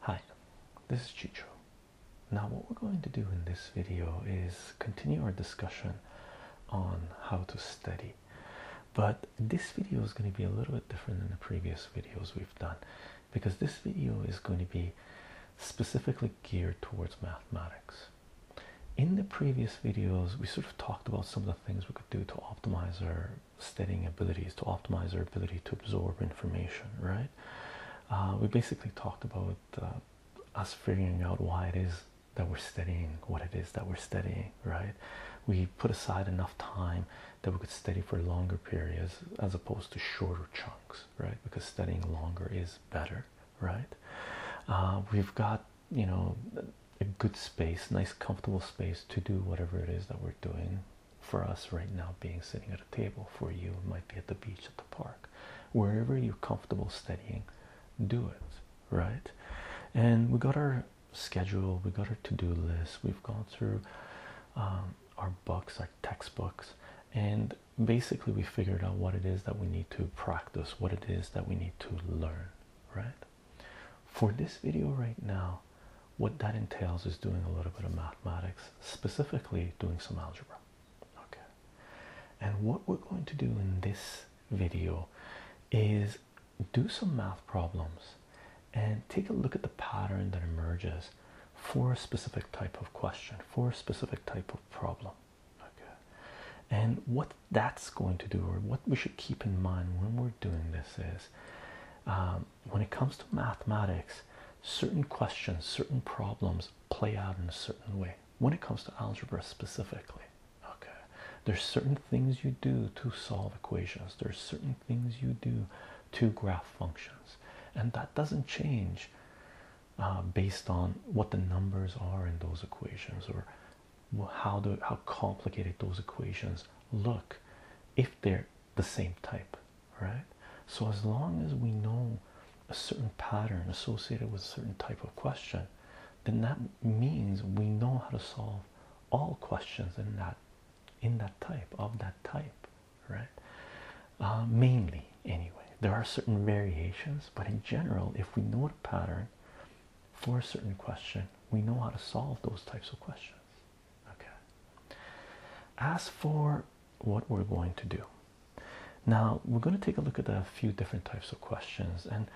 Hi, this is Chicho. Now what we're going to do in this video is continue our discussion on how to study. But this video is going to be a little bit different than the previous videos we've done because this video is going to be specifically geared towards mathematics in the previous videos we sort of talked about some of the things we could do to optimize our studying abilities to optimize our ability to absorb information right uh, we basically talked about uh, us figuring out why it is that we're studying what it is that we're studying right we put aside enough time that we could study for longer periods as opposed to shorter chunks right because studying longer is better right uh, we've got you know a good space nice comfortable space to do whatever it is that we're doing for us right now being sitting at a table for you it might be at the beach at the park wherever you're comfortable studying do it right and we got our schedule we got our to-do list we've gone through um, our books our textbooks and basically we figured out what it is that we need to practice practice, what it is that we need to learn, right? For this video right now, what that entails is doing a little bit of mathematics, specifically doing some algebra. Okay. And what we're going to do in this video is do some math problems and take a look at the pattern that emerges for a specific type of question, for a specific type of problem okay and what that's going to do or what we should keep in mind when we're doing this is um, when it comes to mathematics certain questions certain problems play out in a certain way when it comes to algebra specifically okay there's certain things you do to solve equations there's certain things you do to graph functions and that doesn't change um, based on what the numbers are in those equations or how how complicated those equations look if they're the same type right so as long as we know a certain pattern associated with a certain type of question then that means we know how to solve all questions in that in that type of that type right uh, mainly anyway there are certain variations but in general if we know the pattern for a certain question, we know how to solve those types of questions. Okay. As for what we're going to do now, we're going to take a look at a few different types of questions, and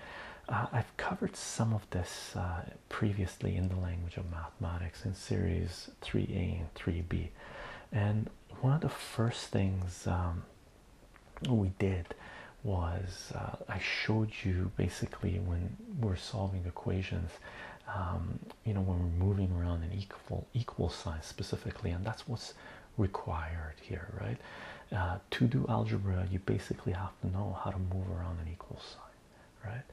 uh, I've covered some of this uh, previously in the language of mathematics in series 3a and 3b. And one of the first things um, we did was uh, I showed you basically when we're solving equations, um, you know, when we're moving around an equal equal sign specifically, and that's what's required here, right? Uh, to do algebra, you basically have to know how to move around an equal sign, right?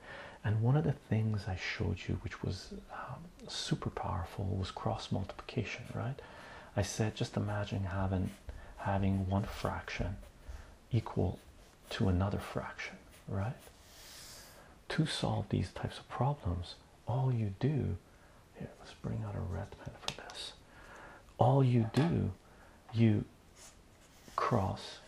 And one of the things I showed you, which was um, super powerful, was cross multiplication, right? I said, just imagine having having one fraction equal to another fraction, right? To solve these types of problems, all you do here, let's bring out a red pen for this. All you do, you cross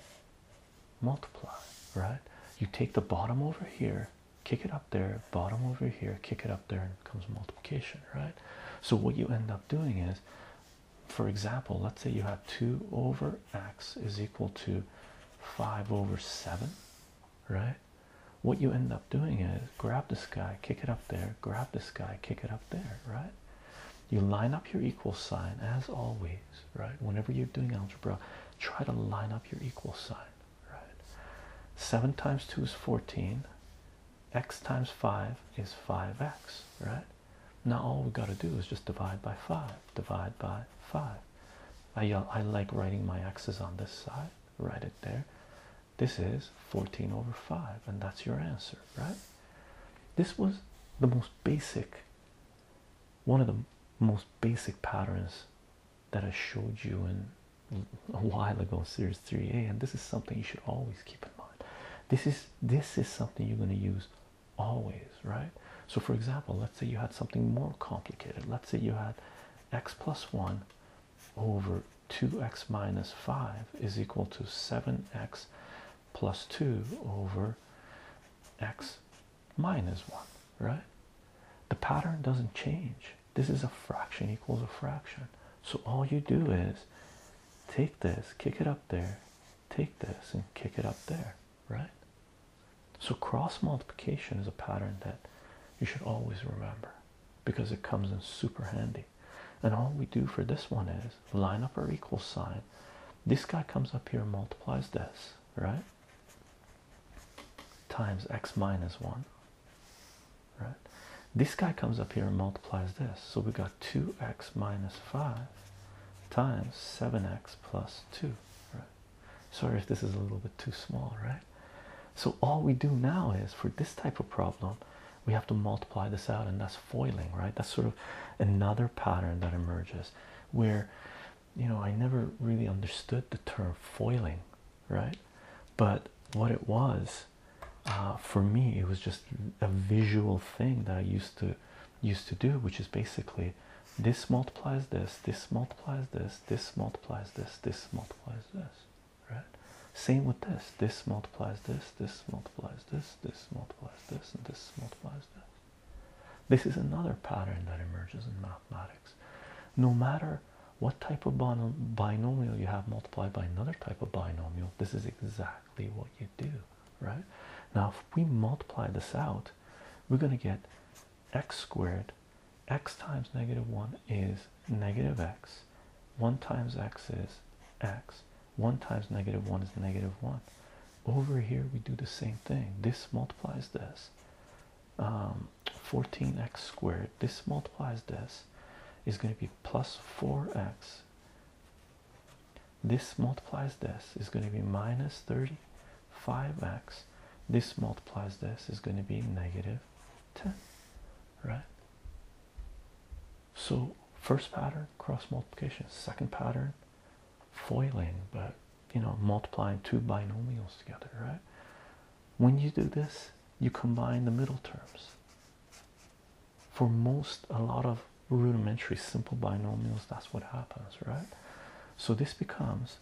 multiply, right? You take the bottom over here, kick it up there, bottom over here, kick it up there and it multiplication, right? So what you end up doing is, for example, let's say you have 2 over x is equal to 5 over 7, right? What you end up doing is grab this guy, kick it up there, grab this guy, kick it up there, right? You line up your equal sign as always, right? Whenever you're doing algebra, try to line up your equal sign, right? 7 times 2 is 14, x times 5 is 5x, right? Now all we got to do is just divide by 5, divide by 5. I, uh, I like writing my x's on this side, write it there. This is 14 over 5, and that's your answer, right? This was the most basic, one of the most basic patterns that I showed you in a while ago series 3a and this is something you should always keep in mind this is this is something you're going to use always right so for example let's say you had something more complicated let's say you had x plus 1 over 2x minus 5 is equal to 7x plus 2 over x minus 1 right the pattern doesn't change this is a fraction equals a fraction. So all you do is take this, kick it up there, take this, and kick it up there, right? So cross multiplication is a pattern that you should always remember because it comes in super handy. And all we do for this one is line up our equal sign. This guy comes up here multiplies this, right? Times x minus 1 right? This guy comes up here and multiplies this. So we got 2x minus 5 times 7x plus 2, right? Sorry if this is a little bit too small, right? So all we do now is for this type of problem, we have to multiply this out, and that's foiling, right? That's sort of another pattern that emerges where you know I never really understood the term foiling, right? But what it was uh, for me it was just a visual thing that i used to used to do which is basically this multiplies this this multiplies this this multiplies this this multiplies this right same with this this multiplies this this multiplies this this multiplies this and this multiplies this this is another pattern that emerges in mathematics no matter what type of binomial you have multiplied by another type of binomial this is exactly what you do right now if we multiply this out we're going to get x squared x times negative 1 is negative x 1 times x is x 1 times negative 1 is negative 1 over here we do the same thing this multiplies this 14x um, squared this multiplies this is going to be plus 4x this multiplies this is going to be minus 35x this multiplies this is going to be negative 10 right so first pattern cross multiplication second pattern foiling but you know multiplying two binomials together right when you do this you combine the middle terms for most a lot of rudimentary simple binomials that's what happens right so this becomes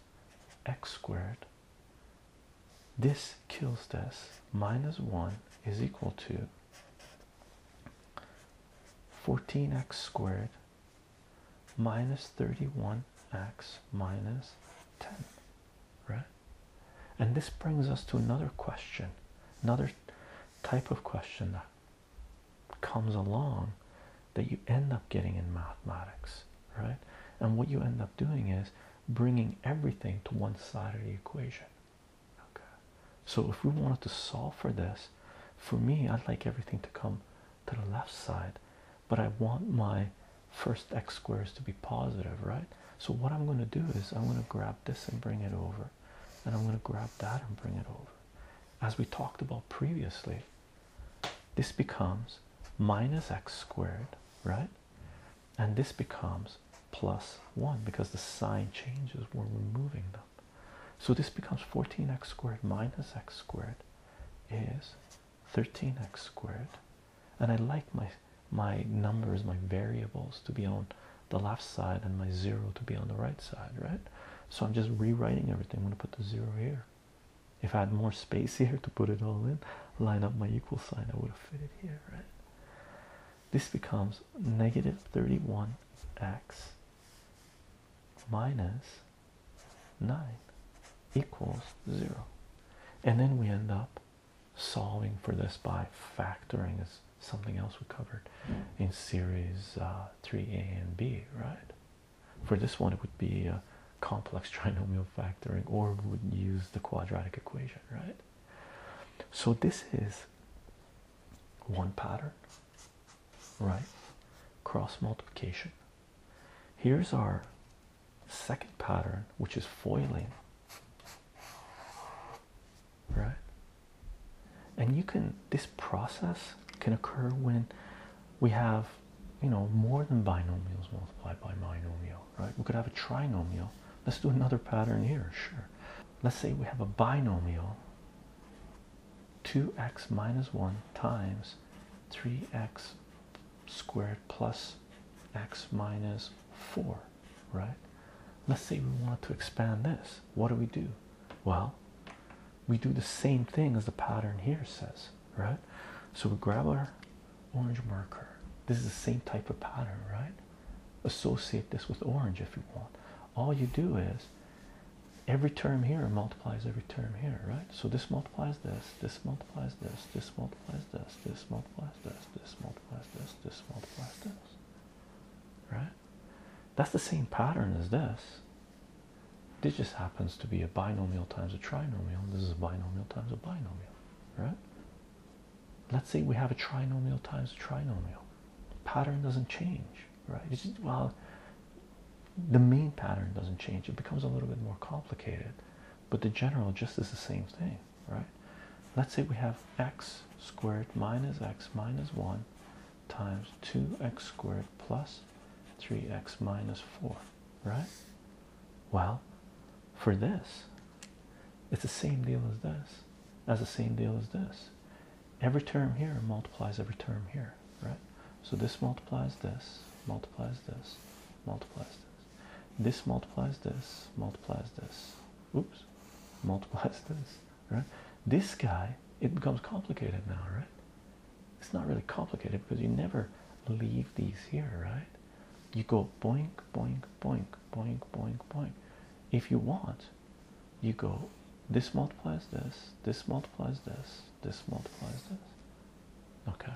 x squared this kills this minus 1 is equal to 14x squared minus 31x minus 10 right? And this brings us to another question, another type of question that comes along that you end up getting in mathematics, right? And what you end up doing is bringing everything to one side of the equation. Okay. So if we wanted to solve for this, for me, I'd like everything to come to the left side, but I want my first x squares to be positive, right? So what I'm going to do is I'm going to grab this and bring it over and i'm going to grab that and bring it over as we talked about previously this becomes minus x squared right and this becomes plus 1 because the sign changes when we're moving them so this becomes 14x squared minus x squared is 13x squared and i like my my numbers my variables to be on the left side and my zero to be on the right side right so i'm just rewriting everything i'm going to put the zero here if i had more space here to put it all in line up my equal sign i would have fit it here right this becomes negative 31x minus 9 equals 0 and then we end up solving for this by factoring is something else we covered in series 3a uh, and b, right? For this one, it would be a complex trinomial factoring, or we would use the quadratic equation, right? So this is one pattern, right? Cross multiplication. Here's our second pattern, which is foiling right and you can this process can occur when we have you know more than binomials multiplied by binomial right we could have a trinomial let's do another pattern here sure let's say we have a binomial 2x minus 1 times 3x squared plus minus x minus 4 right let's say we want to expand this what do we do well we do the same thing as the pattern here says right so we grab our orange marker this is the same type of pattern right associate this with orange if you want all you do is every term here multiplies every term here right so this multiplies this this multiplies this this multiplies this this multiplies this this multiplies multiplies this, this multiplies this, right? That's the same pattern as this. This just happens to be a binomial times a trinomial. This is a binomial times a binomial, right? Let's say we have a trinomial times a trinomial. Pattern doesn't change, right? well, the main pattern doesn't change. It becomes a little bit more complicated, but the general just is the same thing, right? Let's say we have x squared minus x minus 1 times 2x squared plus 3x minus 4, right? Well, for this, it's the same deal as this, That's the same deal as this. Every term here multiplies every term here, right? So this multiplies this, multiplies this, multiplies this. This multiplies this, multiplies this. Oops, multiplies this, right? This guy, it becomes complicated now, right? It's not really complicated because you never leave these here, right? You go boink, boink, boink, boink, boink, boink. If you want, you go this multiplies this, this multiplies this, this multiplies this. Okay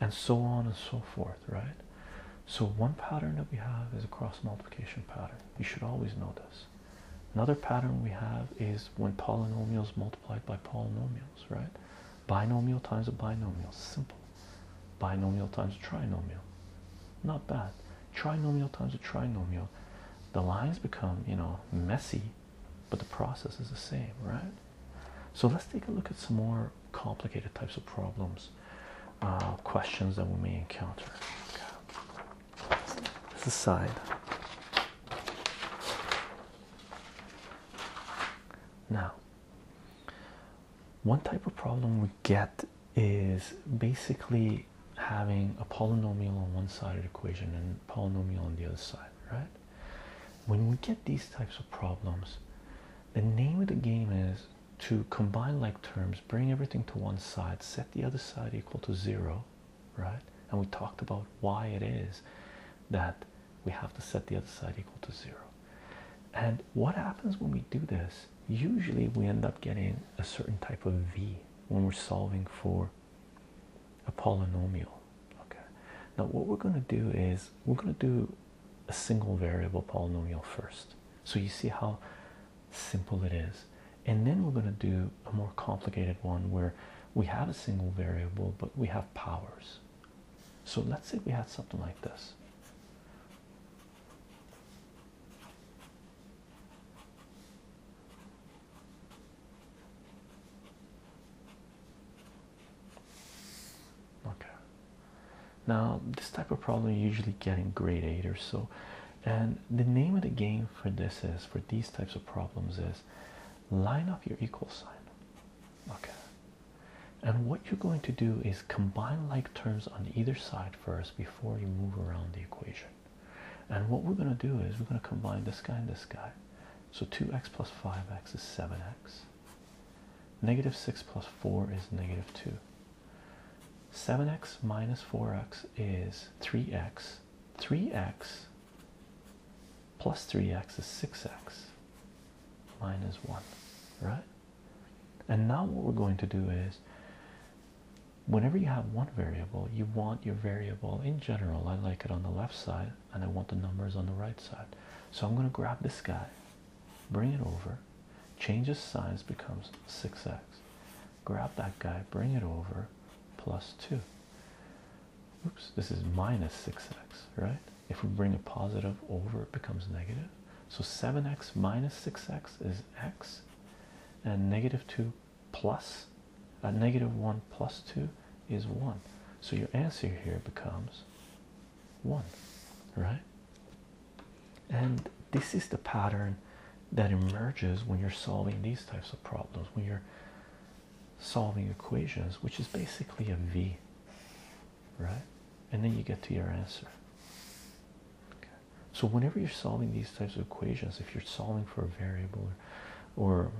and so on and so forth, right? So, one pattern that we have is a cross multiplication pattern. You should always know this. Another pattern we have is when polynomials multiplied by polynomials, right? Binomial times a binomial, simple. Binomial times a trinomial, not bad. Trinomial times a trinomial. The lines become, you know, messy, but the process is the same, right? So, let's take a look at some more complicated types of problems, uh, questions that we may encounter. Okay. This is side. Now, one type of problem we get is basically having a polynomial on one side of the equation and polynomial on the other side, right? When we get these types of problems, the name of the game is to combine like terms, bring everything to one side, set the other side equal to zero, right? And we talked about why it is that we have to set the other side equal to zero. And what happens when we do this? Usually we end up getting a certain type of v when we're solving for a polynomial. Okay. Now what we're going to do is we're going to do a single variable polynomial first. So you see how simple it is. And then we're going to do a more complicated one where we have a single variable but we have powers. So let's say we had something like this okay now this type of problem you usually get in grade 8 or so and the name of the game for this is for these types of problems is line up your equal sign okay and what you're going to do is combine like terms on either side first before you move around the equation and what we're going to do is we're going to combine this guy and this guy so 2x plus 5x is 7x Negative 6 plus 4 is negative 2. 7x minus 4x is 3x. 3x plus 3x is 6x minus 1, right? And now what we're going to do is whenever you have one variable, you want your variable in general. I like it on the left side and I want the numbers on the right side. So I'm going to grab this guy bring it over changes size becomes 6x grab that guy bring it over plus 2 oops this is minus 6x right if we bring a positive over it becomes negative so 7x minus 6x is x and negative 2 plus a uh, negative 1 plus 2 is 1 so your answer here becomes one, right? And this is the pattern that emerges when you're solving these types of problems, when you're solving equations, which is basically a V, right? And then you get to your answer. Okay. So, whenever you're solving these types of equations, if you're solving for a variable or, or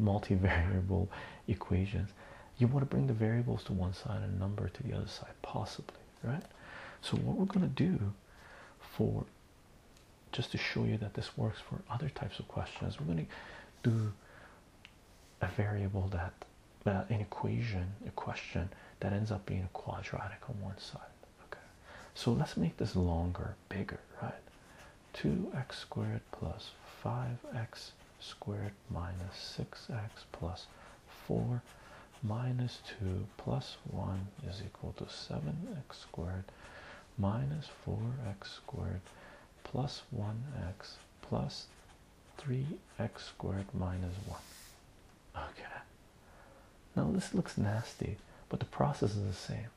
multivariable equations, you want to bring the variables to one side and number to the other side possibly right so what we're going to do for just to show you that this works for other types of questions we're going to do a variable that an equation a question that ends up being a quadratic on one side okay so let's make this longer bigger right 2x squared plus 5x squared minus 6x plus 4 minus 2 plus 1 is equal to 7x squared minus 4x squared plus 1x plus 3x squared minus 1. Okay. Now this looks nasty, but the process is the same.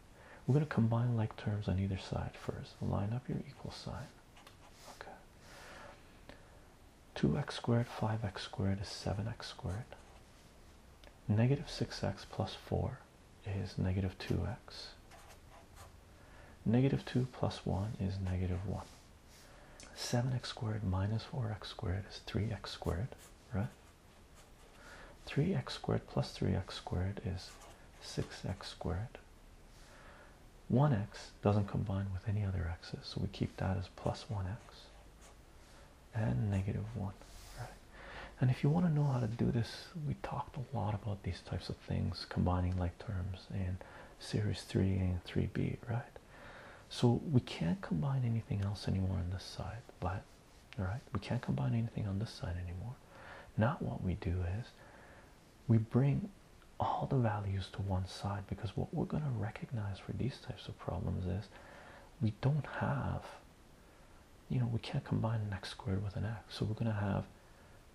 We're going to combine like terms on either side first. Line up your equal sign. Okay. 2x squared 5x squared is 7x squared negative 6x plus 4 is negative 2x negative 2 plus 1 is negative 1 7x squared minus 4x squared is 3x squared right 3x squared plus 3x squared is 6x squared 1x doesn't combine with any other x's, so we keep that as plus 1x and negative 1. And if you want to know how to do this, we talked a lot about these types of things, combining like terms in series 3 and 3b, right? So we can't combine anything else anymore on this side, but all right, we can't combine anything on this side anymore. Not what we do is we bring all the values to one side because what we're going to recognize for these types of problems is we don't have you know we can't combine an x squared with an x so we're going to have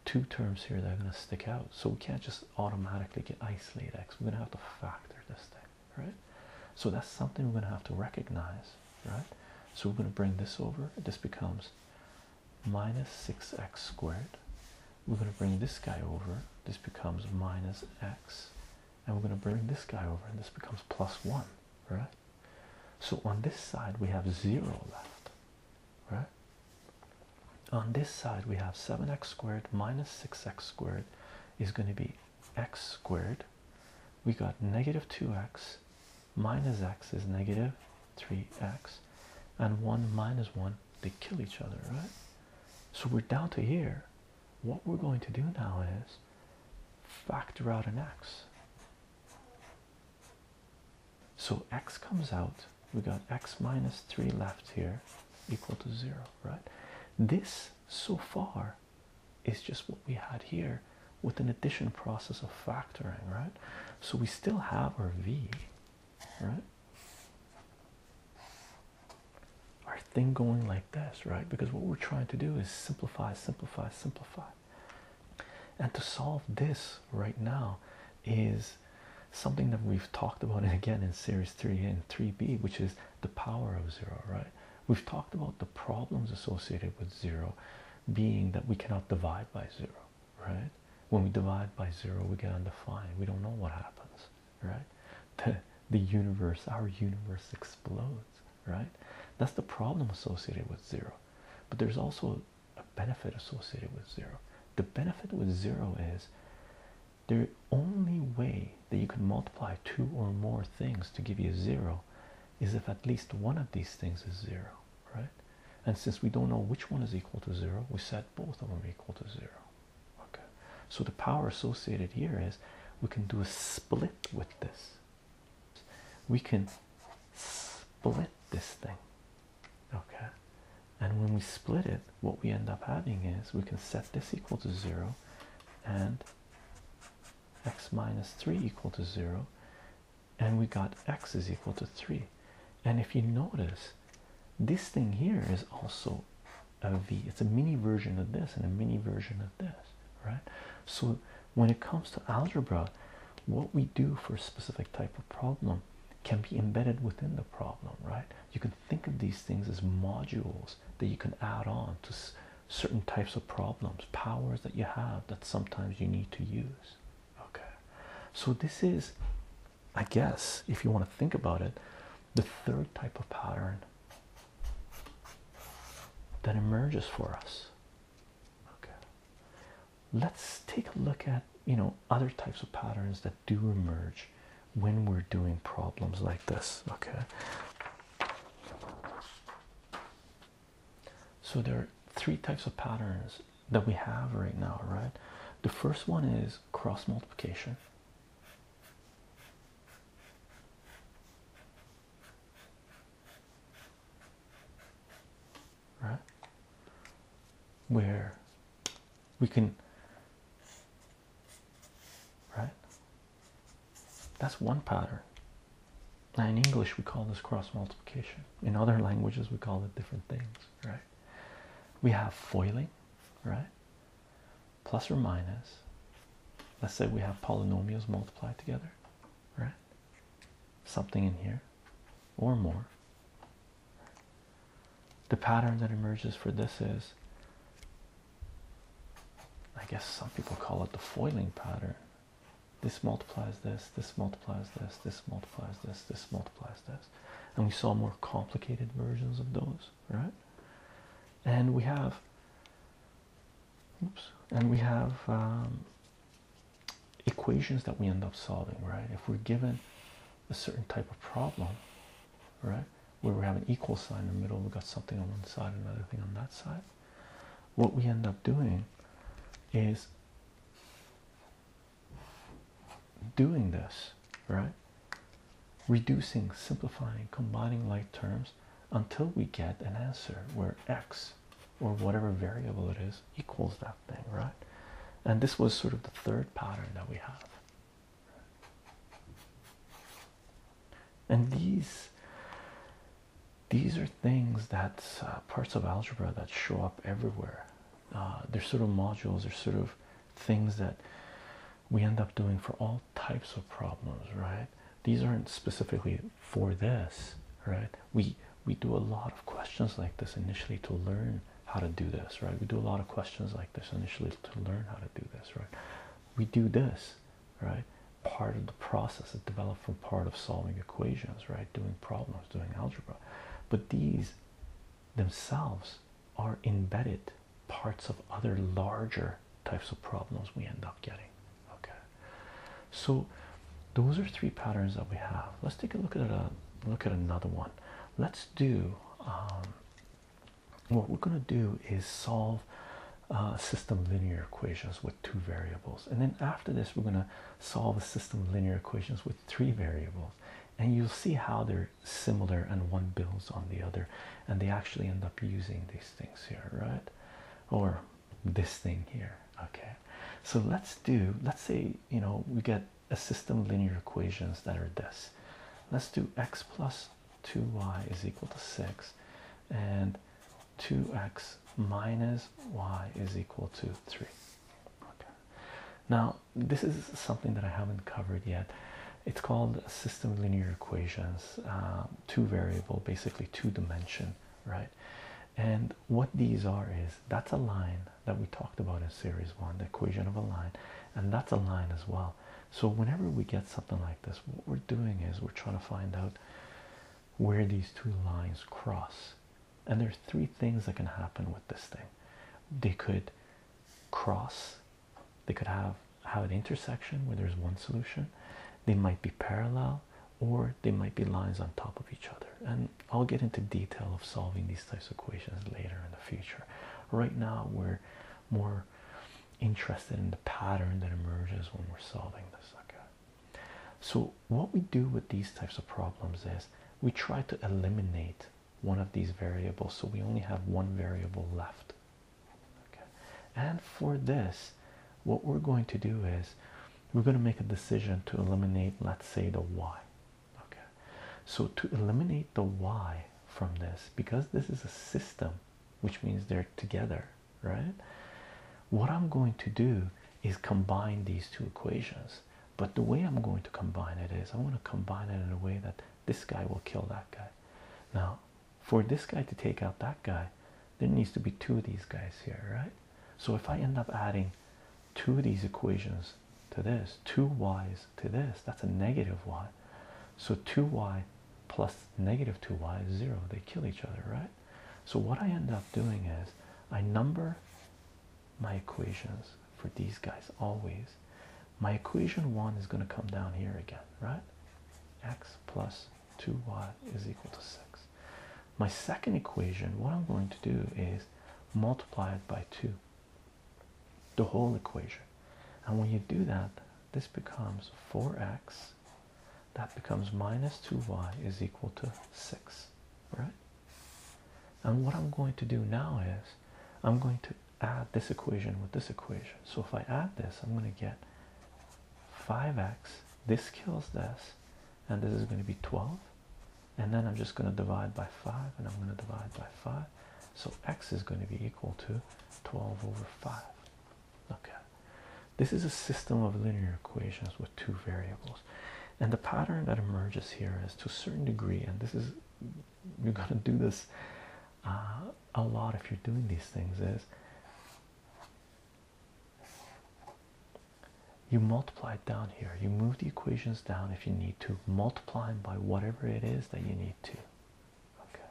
two terms here that are going to stick out so we can't just automatically get isolate x we're going to have to factor this thing right so that's something we're going to have to recognize right so we're going to bring this over this becomes minus 6x squared we're going to bring this guy over this becomes minus x and we're going to bring this guy over and this becomes plus 1 right so on this side we have 0 left right on this side we have 7x squared minus 6x squared is going to be x squared we got negative 2x minus x is negative 3x and 1 minus 1 they kill each other right so we're down to here what we're going to do now is factor out an x so x comes out we got x minus 3 left here equal to 0 right this so far is just what we had here with an addition process of factoring right so we still have our v right? Our thing going like this, right? Because what we're trying to do is simplify, simplify, simplify. And to solve this right now is something that we've talked about again in series 3 and 3b, which is the power of zero, right? We've talked about the problems associated with zero being that we cannot divide by zero, right? When we divide by zero, we get undefined. We don't know what happens, right? The, the universe, our universe explodes, right? That's the problem associated with zero. But there's also a benefit associated with zero. The benefit with zero is the only way that you can multiply two or more things to give you zero is if at least one of these things is zero, right? And since we don't know which one is equal to zero, we set both of them equal to zero, okay so the power associated here is we can do a split with this we can split this thing okay and when we split it what we end up having is we can set this equal to zero and x minus 3 equal to 0 and we got x is equal to 3 and if you notice this thing here is also a V. It's a mini version of this and a mini version of this, right? So when it comes to algebra, what we do for a specific type of problem can be embedded within the problem, right? You can think of these things as modules that you can add on to certain types of problems, powers that you have that sometimes you need to use. Okay, so this is I guess, if you want to think about it, the third type of pattern that emerges for us. Okay, let's take a look at you know other types of patterns that do emerge when we're doing problems like this. Okay, so there are three types of patterns that we have right now, right? The first one is cross multiplication right where we can right that's one pattern now in english we call this cross multiplication in other languages we call it different things right we have foiling right plus or minus let's say we have polynomials multiplied together right something in here or more the pattern that emerges for this is I guess some people call it the foiling pattern. This multiplies this, this multiplies this, this multiplies this, this multiplies this and we saw more complicated versions of those right and we have oops and we have um, equations that we end up solving right if we're given a certain type of problem right where we have an equal sign in the middle we've got something on one side another thing on that side what we end up doing is doing this, right? Reducing, simplifying, combining like terms until we get an answer where x or whatever variable it is equals that thing, right? And this was sort of the third pattern that we have. And these these are things that uh, parts of algebra that show up everywhere. Uh, they're sort of modules, they're sort of things that we end up doing for all types of problems, right? These aren't specifically for this, right? We we do a lot of questions like this initially to learn how to do this, right? We do a lot of questions like this initially to learn how to do this, right? We do this, right? Part of the process of developing, part of solving equations, right? Doing problems, doing algebra. But these themselves are embedded parts of other larger types of problems we end up getting. Okay, so those are three patterns that we have. Let's take a look at a look at another one. Let's do um, what we're going to do is solve uh, system linear equations with two variables, and then after this, we're going to solve a system linear equations with three variables, and you'll see how they're similar and one builds on the other and they actually end up using these things here right or this thing here okay so let's do let's say you know we get a system of linear equations that are this let's do x plus 2y is equal to 6 and 2x minus y is equal to 3 okay now this is something that I haven't covered yet. It's called system linear equations, um, two variable, basically two dimension, right? And what these are is that's a line that we talked about in series one, the equation of a line, and that's a line as well. So whenever we get something like this, what we're doing is we're trying to find out where these two lines cross. And there are three things that can happen with this thing. They could cross they could have have an intersection where there's one solution they might be parallel or they might be lines on top of each other and i'll get into detail of solving these types of equations later in the future right now we're more interested in the pattern that emerges when we're solving this so what we do with these types of problems is we try to eliminate one of these variables so we only have one variable left and for this what we're going to do is we're going to make a decision to eliminate let's say the y okay so to eliminate the y from this because this is a system which means they're together right what i'm going to do is combine these two equations but the way i'm going to combine it is i want to combine it in a way that this guy will kill that guy now for this guy to take out that guy there needs to be two of these guys here right so if i end up adding two of these equations to this two y's to this that's a negative y so 2y plus negative 2y is 0 they kill each other right so what i end up doing is i number my equations for these guys always. My equation one is going to come down here again, right? X plus 2y is equal to 6. My second equation, what I'm going to do is multiply it by 2, the whole equation. And when you do that, this becomes 4x, that becomes minus 2y is equal to 6, right? And what I'm going to do now is I'm going to add this equation with this equation. So if I add this, I'm going to get 5x. This kills this, and this is going to be 12. And then I'm just going to divide by 5, and I'm going to divide by 5. So x is going to be equal to 12 over 5. Okay. This is a system of linear equations with two variables. And the pattern that emerges here is to a certain degree, and this is you're gonna do this uh, a lot if you're doing these things is you multiply down here you move the equations down if you need to multiplying by whatever it is that you need to okay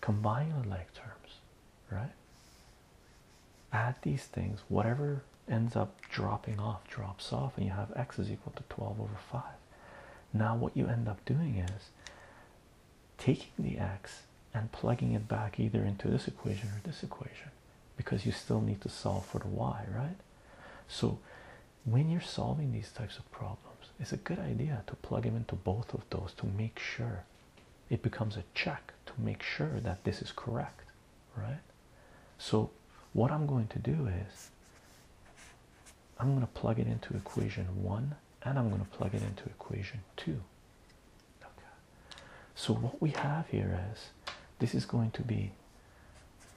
combine like terms right add these things whatever ends up dropping off drops off and you have x is equal to 12 over 5 now, what you end up doing is taking the x and plugging it back either into this equation or this equation because you still need to solve for the y, right? So, when you're solving these types of problems, it's a good idea to plug them into both of those to make sure it becomes a check to make sure that this is correct, right? So, what I'm going to do is I'm going to plug it into equation one and I'm going to plug it into equation two. Okay. So what we have here is this is going to be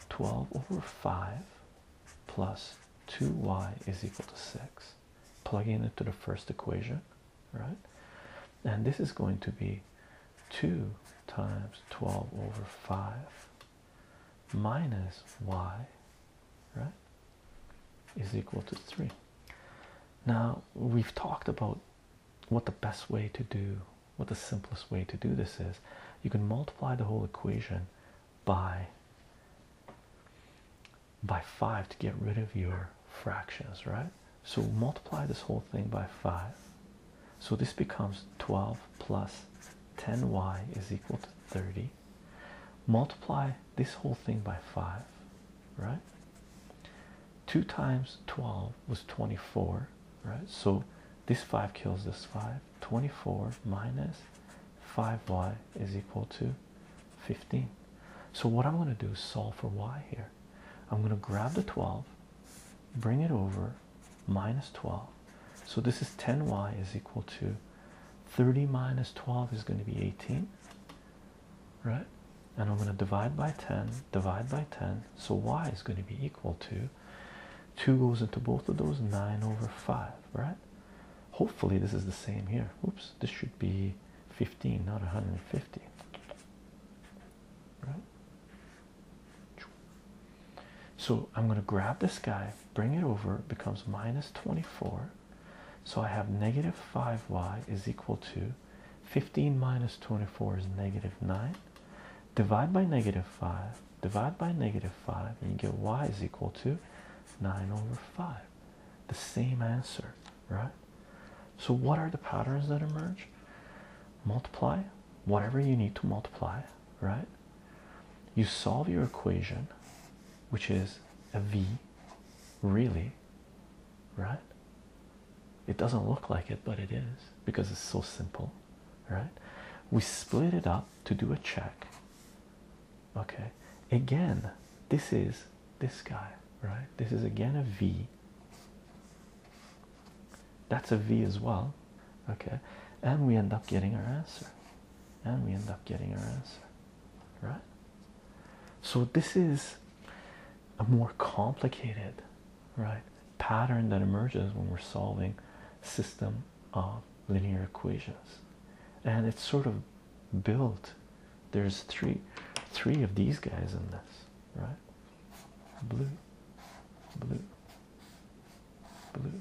12 over 5 plus 2y is equal to 6. Plugging in into the first equation, right? And this is going to be 2 times 12 over 5 minus y right is equal to 3 now we've talked about what the best way to do what the simplest way to do this is you can multiply the whole equation by by 5 to get rid of your fractions right so multiply this whole thing by 5 so this becomes 12 plus 10y is equal to 30. Multiply this whole thing by 5, right? 2 times 12 was 24, right? So this 5 kills this 5. 24 minus 5y is equal to 15. So what I'm going to do is solve for y here. I'm going to grab the 12, bring it over, minus 12 so this is 10y is equal to 30 minus 12 is going to be 18 right and i'm going to divide by 10 divide by 10 so y is going to be equal to 2 goes into both of those 9 over 5 right hopefully this is the same here oops this should be 15 not 150 right so I'm going to grab this guy, bring it over, becomes minus 24. So I have negative 5y is equal to 15 minus 24 is negative 9. Divide by negative 5, divide by negative 5, and you get y is equal to 9 over 5. The same answer, right? So what are the patterns that emerge? Multiply whatever you need to multiply, right? You solve your equation, which is a V, really, right? It doesn't look like it, but it is because it's so simple, right? We split it up to do a check. Okay, again, this is this guy, right? This is again a V that's a v as well okay and we end up getting our answer and we end up getting our answer right so this is a more complicated right pattern that emerges when we're solving system of linear equations and it's sort of built there's three three of these guys in this right blue blue Blue.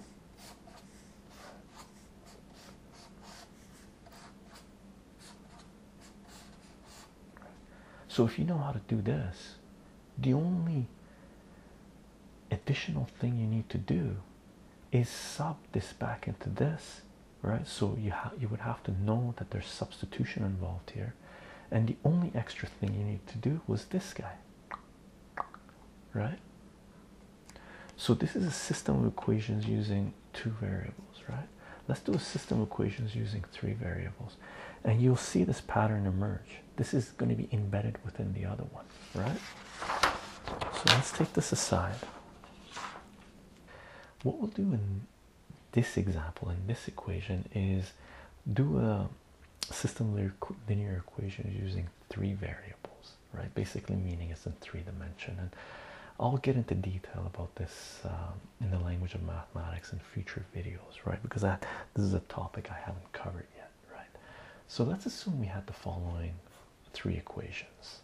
So, if you know how to do this, the only additional thing you need to do is sub this back into this, right? So, you, you would have to know that there's substitution involved here, and the only extra thing you need to do was this guy right? So this is a system of equations using two variables, right? Let's do a system of equations using three variables, and you'll see this pattern emerge. This is going to be embedded within the other one, right? So let's take this aside. What we'll do in this example, in this equation, is do a system linear equations using three variables, right? Basically, meaning it's in three dimension, and I'll get into detail about this um, in the language of mathematics in future videos, right? Because that this is a topic I haven't covered yet, right? So let's assume we had the following three equations.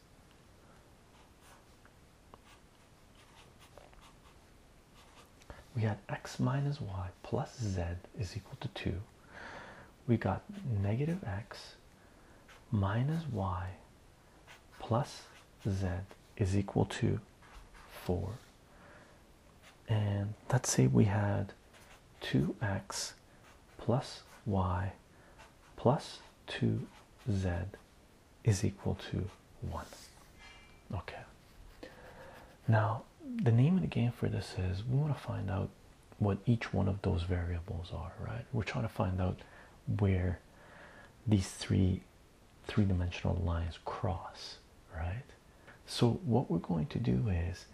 We had x minus y plus z is equal to 2 we got negative x minus y plus z is equal to 4 and let's say we had 2x plus y plus 2z is equal to 1 okay now the name of the game for this is we want to find out what each one of those variables are, right? We're trying to find out where these three three-dimensional lines cross, right? So what we're going to do is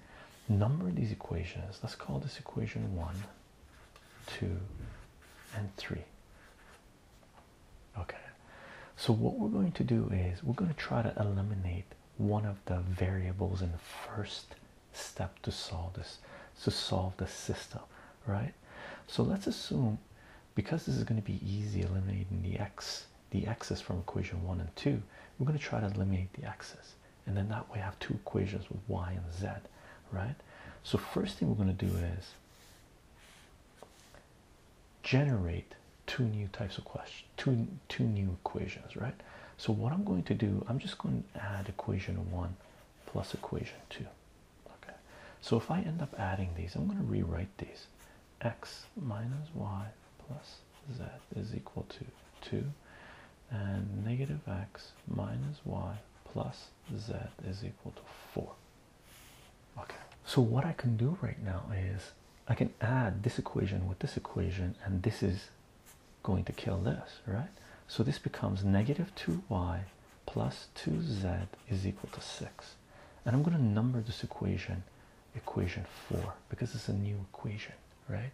number these equations. Let's call this equation one, two, and three. Okay. So what we're going to do is we're going to try to eliminate one of the variables in the first step to solve this to solve the system right so let's assume because this is going to be easy eliminating the x the x's from equation one and two we're going to try to eliminate the x's and then that way I have two equations with y and z right so first thing we're going to do is generate two new types of questions, two, two new equations, right? So, what I'm going to do, I'm just going to add equation one plus equation two. Okay, so if I end up adding these, I'm going to rewrite these x minus y plus z is equal to 2, and negative x minus y plus z is equal to 4. Okay, so what I can do right now is I can add this equation with this equation, and this is going to kill this, right? So this becomes negative 2y plus 2z is equal to 6. And I'm going to number this equation, equation 4, because it's a new equation, right?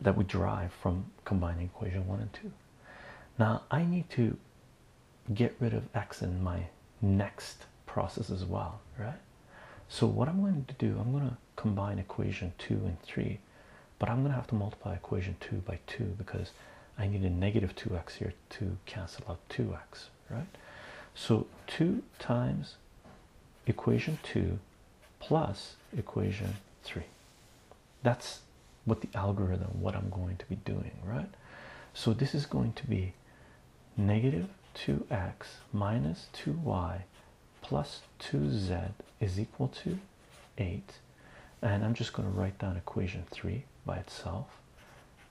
That we derive from combining equation 1 and 2. Now I need to get rid of x in my next process as well, right? So what I'm going to do, I'm going to combine equation 2 and 3 but i'm going to have to multiply equation 2 by 2 because i need a negative 2x here to cancel out 2x right so 2 times equation 2 plus equation 3 that's what the algorithm what i'm going to be doing right so this is going to be negative 2x minus 2y plus 2z is equal to 8 and i'm just going to write down equation 3 by itself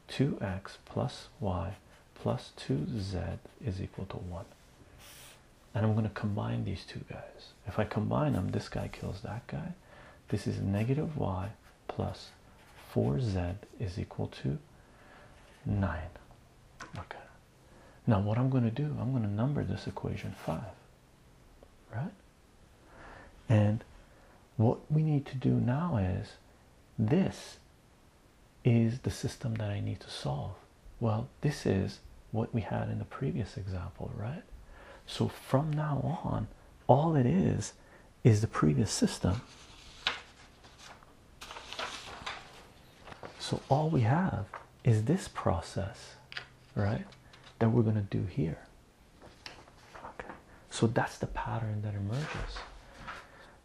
2x plus y plus 2z is equal to 1 and i'm going to combine these two guys if i combine them this guy kills that guy this is negative y plus 4z is equal to 9 okay now, what I'm going to do, I'm going to number this equation 5, right? And what we need to do now is this is the system that I need to solve. Well, this is what we had in the previous example, right? So from now on, all it is is the previous system so all we have is this process, right? That we're going to do here. Okay. So that's the pattern that emerges.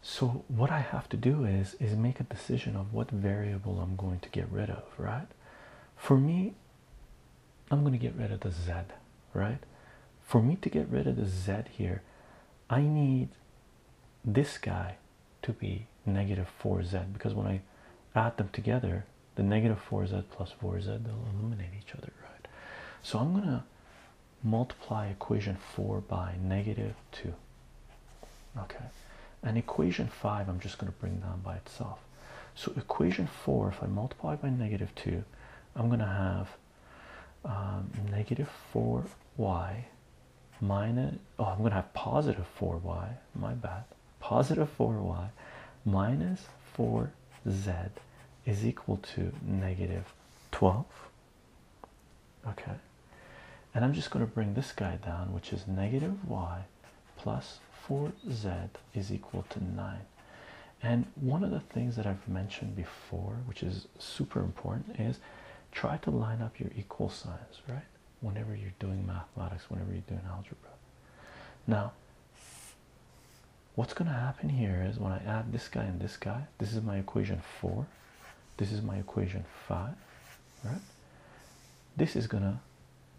So what I have to do is is make a decision of what variable I'm going to get rid of, right? For me, I'm going to get rid of the z, right? For me to get rid of the z here, I need this guy to be negative 4z because when I add them together, the negative 4z plus 4z they'll eliminate each other, right? So I'm going to multiply equation 4 by negative 2. Okay, and equation 5 I'm just going to bring down by itself. So, equation 4, if I multiply by negative 2, I'm going to have um, negative 4y minus oh i'm gonna have positive 4y my bad positive 4y minus 4z is equal to negative 12 okay and i'm just going to bring this guy down which is negative y plus 4z is equal to 9 and one of the things that i've mentioned before which is super important is try to line up your equal signs right Whenever you're doing mathematics, whenever you're doing algebra. Now, what's going to happen here is when I add this guy and this guy, this is my equation 4, this is my equation 5, right? This is going to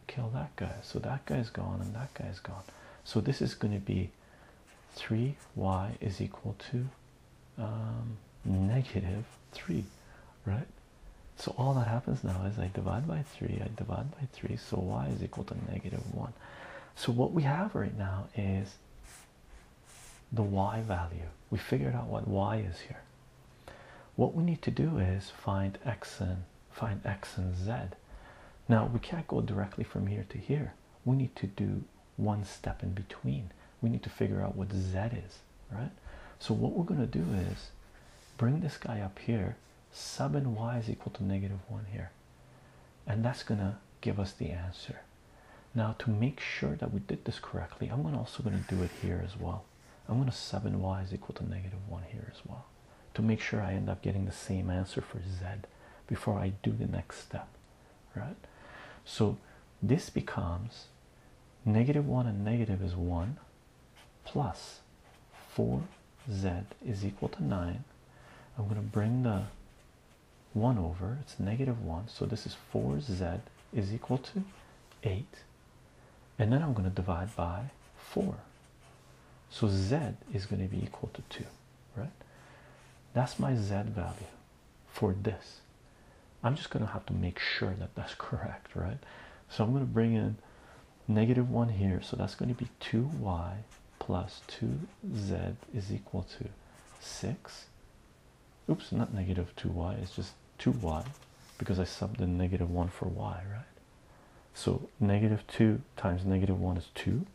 kill that guy. So that guy has gone and that guy has gone. So this is going to be 3y is equal to um, 3 right so all that happens now is I divide by 3 I divide by 3 so y is equal to negative 1 so what we have right now is the y value we figured out what y is here what we need to do is find x and find x and z now we can't go directly from here to here we need to do one step in between we need to figure out what z is right? So what we're gonna do is bring this guy up here, sub in y is equal to negative one here, and that's gonna give us the answer. Now to make sure that we did this correctly, I'm also gonna do it here as well. I'm gonna sub in y is equal to negative one here as well to make sure I end up getting the same answer for z before I do the next step, right? So this becomes Negative 1 and negative is 1 plus 4z is equal to 9. I'm going to bring the 1 over, it's negative 1, so this is 4z is equal to 8. And then I'm going to divide by 4. So z is going to be equal to 2, right? That's my z value for this. I'm just going to have to make sure that that's correct, right? So I'm going to bring in negative 1 here. So that's going to be 2y plus 2z is equal to 6. Oops, not negative 2y. It's just 2y because I subbed the negative negative 1 for y, right? So negative 2 times negative 1 is 2.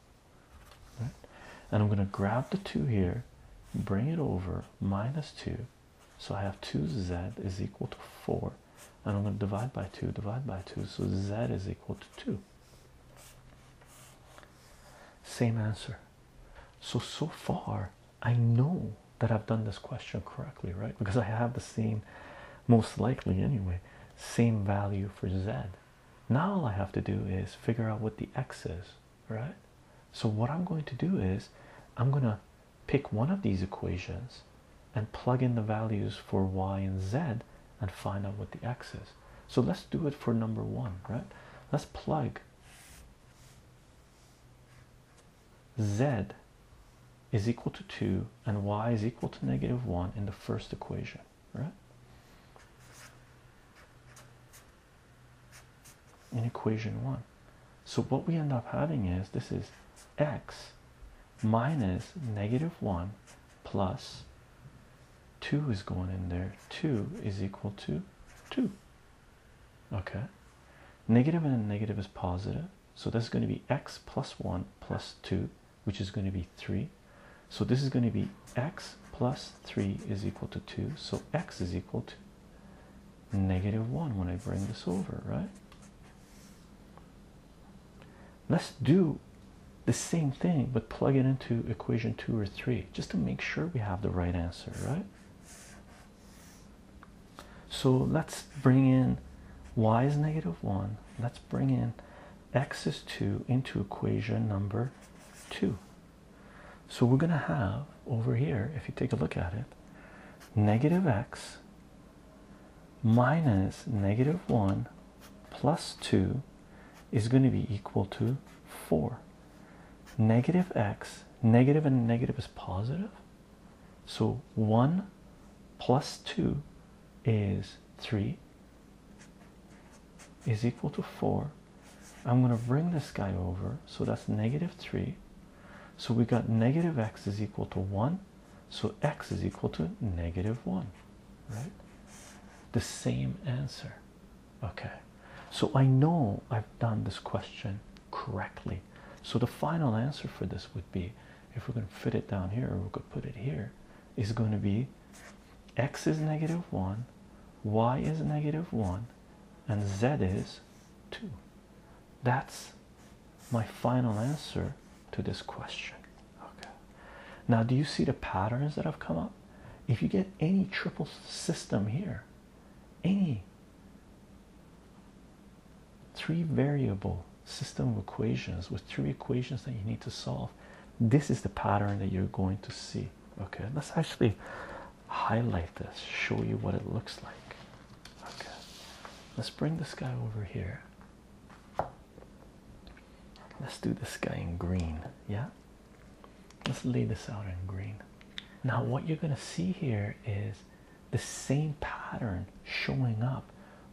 And I'm going to grab the 2 here, bring it over, minus 2 so I have 2z is equal to 4, and I'm going to divide by 2, divide by 2, so z is equal to 2. Same answer. So, so far, I know that I've done this question correctly, right? Because I have the same, most likely anyway, same value for z. Now all I have to do is figure out what the x is right? So, what I'm going to do is I'm going to pick one of these equations and plug in the values for y and z and find out what the x is. So, let's do it for number one, right? Let's plug z is equal to 2 and y is equal to negative 1 in the first equation, right? in equation one. So what we end up having is this is x minus negative one plus two is going in there. Two is equal to two. Okay. Negative and a negative is positive. So this is going to be x plus one plus two, which is going to be three. So this is going to be x plus 3 is equal to 2. So x is equal to negative 1 when I bring this over, right? Let's do the same thing but plug it into equation 2 or 3 just to make sure we have the right answer, right? So let's bring in y is negative 1. Let's bring in x is 2 into equation number 2. So we're going to have over here, if you take a look at it, negative x minus negative 1 plus 2 is going to be equal to 4. Negative x, negative and negative is positive. So 1 plus 2 is 3 is equal to 4 I'm going to bring this guy over. So that's negative 3. So we got negative x is equal to 1. So x is equal to negative 1. Right? The same answer. Okay. So I know I've done this question correctly. So the final answer for this would be if we're going to fit it down here, or we could put it here, is going to be x is negative 1, y is negative 1, and z is 2. That's my final answer to this question. Okay. Now, do you see the patterns that have come up? If you get any triple system here, any three variable system of equations with three equations that you need to solve, this is the pattern that you're going to see. Okay, That's actually highlight this, show you what it looks like. Okay, let's bring this guy over here. Let's do this guy in green. Yeah, let's lay this out in green. Now, what you're going to see here is the same pattern showing up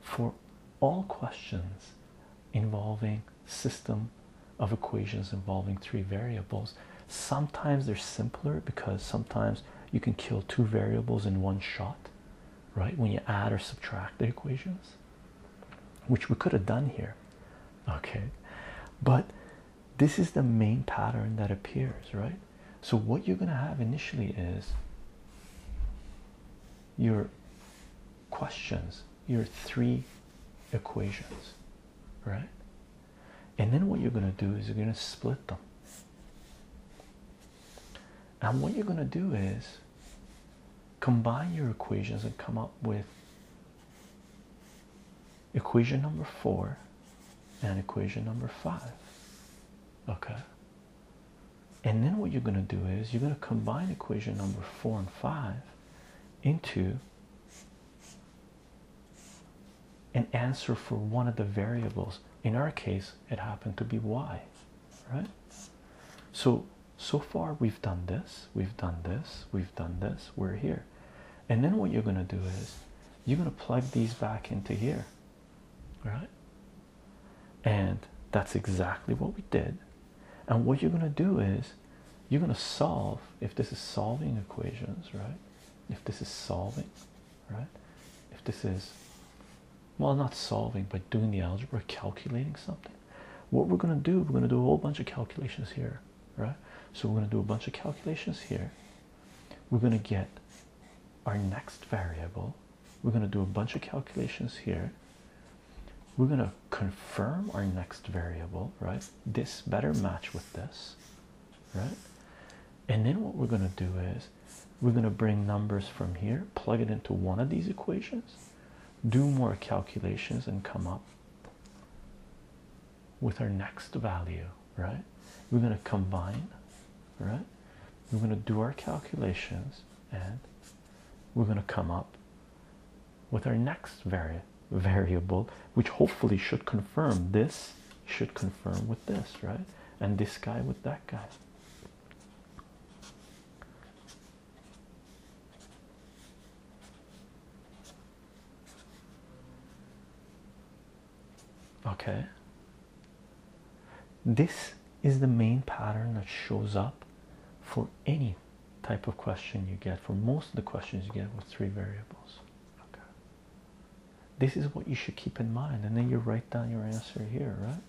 for all questions involving system of equations involving three variables Sometimes they're simpler because sometimes you can kill two variables in one shot, right? When you add or subtract the equations, which we could have done here, okay? But this is the main pattern that appears, right? So, what you're going to have initially is your questions, your three equations, right? and then what you're going to do is you're going to split them and what you're going to do is combine your equations and come up with equation number four and equation number five okay and then what you're going to do is you're going to combine equation number four and five into an answer for one of the variables. In our case, it happened to be y, right? So, so far we've done this, we've done this, we've done this, we're here. And then what you're going to do is you're going to plug these back into here, right? And that's exactly what we did. And what you're going to do is you're going to solve, if this is solving equations, right? if this is solving, right? If this is, well, not solving, but doing the algebra, calculating something, what we're going to do, we're going to do a whole bunch of calculations here, right? So we're going to do a bunch of calculations here. We're going to get our next variable. We're going to do a bunch of calculations here. We're going to confirm our next variable, right? This better match with this, right? And then what we're going to do is we're going to bring numbers from here, plug it into one of these equations, do more calculations, and come up with our next value, right? We're going to combine, right? We're going to do our calculations and we're going to come up with our next variable variable which hopefully should confirm this should confirm with this right and this guy with that guy okay this is the main pattern that shows up for any type of question you get for most of the questions you get with three variables okay this is what you should keep in mind, and then you write down your answer here, right?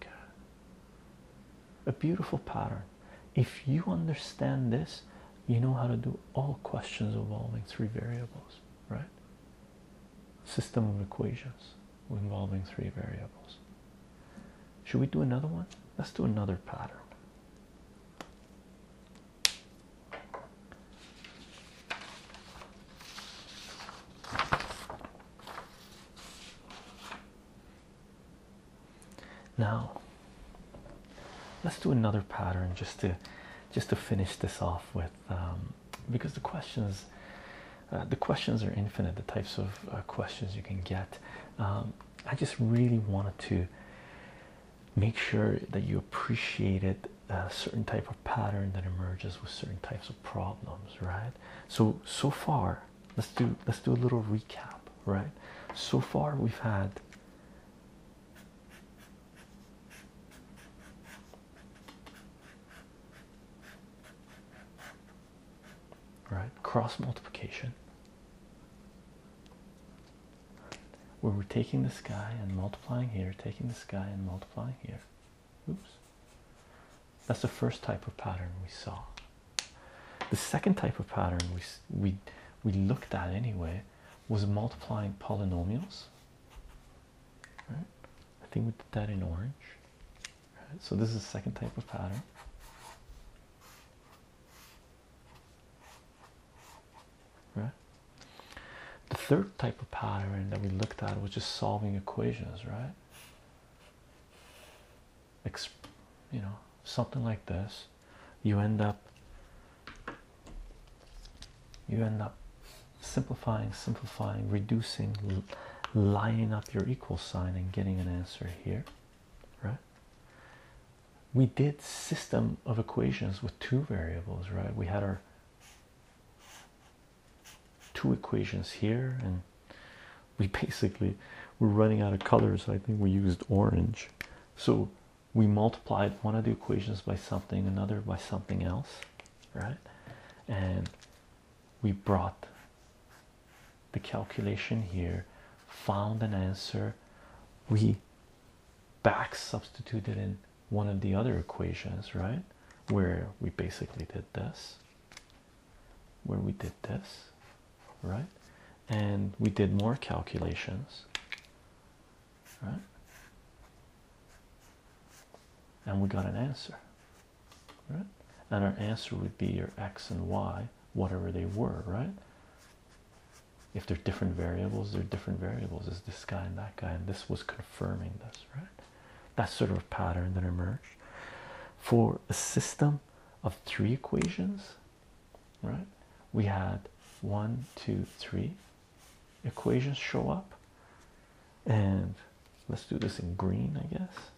Okay. A beautiful pattern. If you understand this, you know how to do all questions involving three variables, right? System of equations involving three variables. Should we do another one? Let's do another pattern. Now, let's do another pattern just to just to finish this off with um, because the questions uh, the questions are infinite the types of uh, questions you can get um, I just really wanted to make sure that you appreciated a certain type of pattern that emerges with certain types of problems, right? So so far, let's do let's do a little recap, right? So far we've had right? Cross multiplication, where we're taking this guy and multiplying here, taking this guy and multiplying here. Oops. That's the first type of pattern we saw. The second type of pattern we we we looked at anyway was multiplying polynomials. Right? I think we did that in orange so this is the second type of pattern. Right. The third type of pattern that we looked at was just solving equations, right? you know, something like this. You end up you end up simplifying, simplifying, reducing, lining up your equal sign and getting an answer here right? We did system of equations with two variables, right? We had our two equations here, and we basically we're running out of colors. I think we used orange, so we multiplied one of the equations by something, another by something else, right? And we brought the calculation here, found an answer. We back substituted in one of the other equations, right? Where we basically did this, where we did this, right? And we did more calculations, right? And we got an answer, right? And our answer would be your x and y whatever they were, right? If they're different variables, they're different variables. Is this guy and that guy, and this was confirming this, right? That sort of pattern that emerged for a system of three equations, right? We had one, two, three equations show up, and let's do this in green, I guess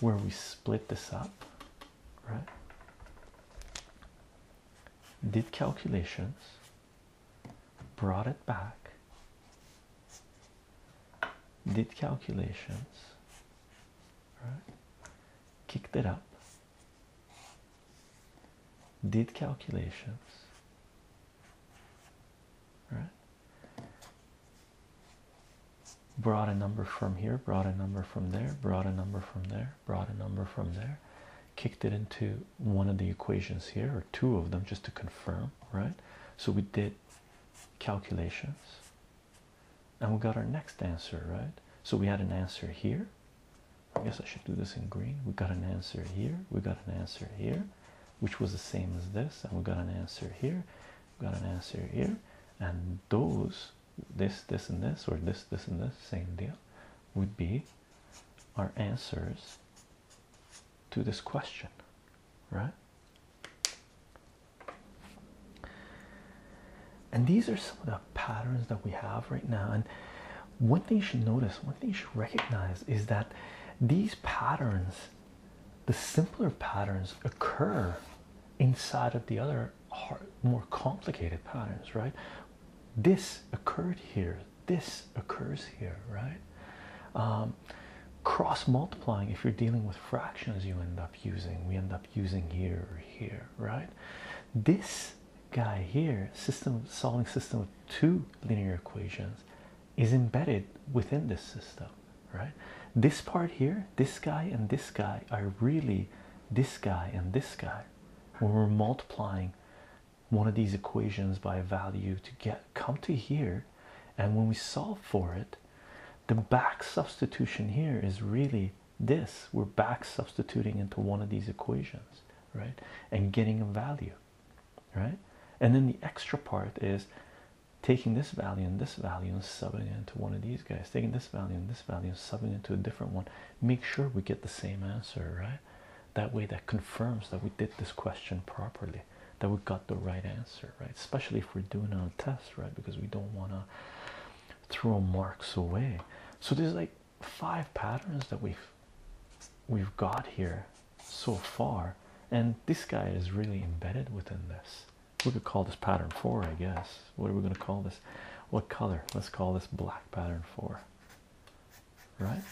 where we split this up, right? Did calculations, brought it back, did calculations, right? Kicked it up, did calculations, right? Brought a number from here, brought a number from there, brought a number from there, brought a number from there, kicked it into one of the equations here, or two of them, just to confirm, right? So we did calculations and we got our next answer, right? So we had an answer here. I guess I should do this in green. We got an answer here, we got an answer here, which was the same as this, and we got an answer here, got an answer here and those this this and this or this this and this same deal would be our answers to this question right and these are some of the patterns that we have right now and one thing you should notice one thing you should recognize is that these patterns the simpler patterns occur inside of the other more complicated patterns, right? This occurred here, this occurs here, right? Um, cross multiplying, if you're dealing with fractions, you end up using, we end up using here or here, right? This guy here, system solving system of two linear equations is embedded within this system, right? This part here, this guy and this guy are really this guy and this guy. When we're multiplying one of these equations by a value to get come to here, and when we solve for it, the back substitution here is really this. We're back substituting into one of these equations, right? And getting a value, right? And then the extra part is taking this value and this value and subbing it into one of these guys, taking this value and this value and subbing it into a different one, make sure we get the same answer, right? That way, that confirms that we did this question properly, that we got the right answer, right? Especially if we're doing a test, right? Because we don't want to throw marks away. So there's like five patterns that we've we've got here so far, and this guy is really embedded within this we could call this pattern four, I guess. What are we going to call this? What color? Let's call this black pattern four, right?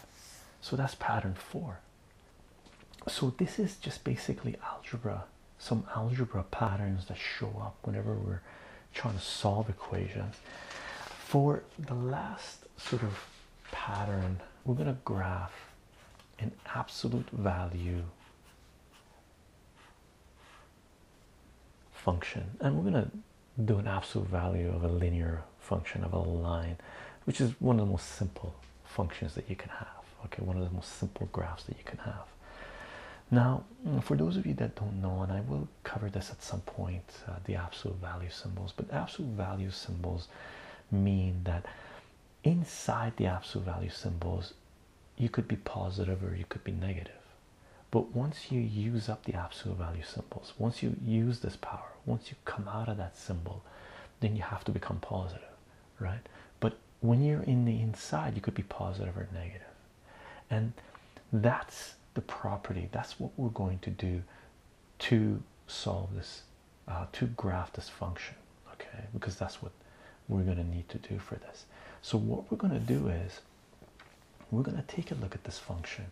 So that's pattern four. So this is just basically algebra, some algebra patterns that show up whenever we're trying to solve equations. For the last sort of pattern, we're going to graph an absolute value function and we're going to do an absolute value of a linear function of a line which is one of the most simple functions that you can have okay one of the most simple graphs that you can have now for those of you that don't know and i will cover this at some point uh, the absolute value symbols but absolute value symbols mean that inside the absolute value symbols you could be positive or you could be negative but once you use up the absolute value symbols once you use this power once you come out of that symbol then you have to become positive right but when you're in the inside you could be positive or negative and that's the property that's what we're going to do to solve this uh, to graph this function okay because that's what we're going to need to do for this so what we're going to do is we're going to take a look at this function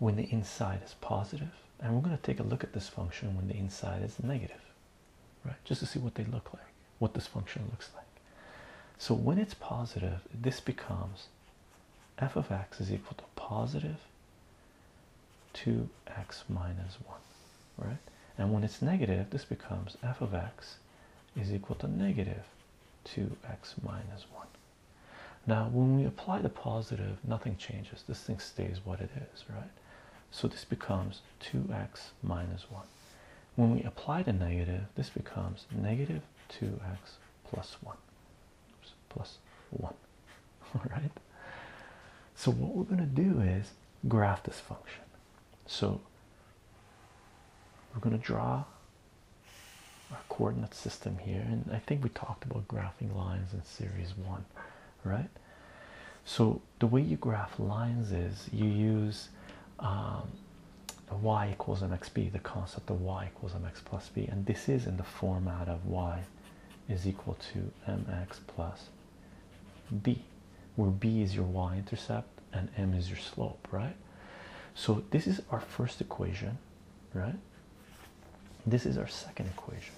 when the inside is positive and we're going to take a look at this function when the inside is negative right just to see what they look like what this function looks like so when it's positive this becomes f of x is equal to positive 2x minus 1, right? And when it's negative, this becomes f of x is equal to negative 2x minus 1. Now, when we apply the positive, nothing changes. This thing stays what it is, right? So this becomes 2x minus 1. When we apply the negative, this becomes negative 2x plus 1. Oops, plus 1, all right? So what we're going to do is graph this function. So we're going to draw our coordinate system here, and I think we talked about graphing lines in series one, right? So the way you graph lines is you use um, y equals mxb, the concept of y equals mx plus b, and this is in the format of y is equal to mx plus b where b is your y-intercept and m is your slope right so this is our first equation right this is our second equation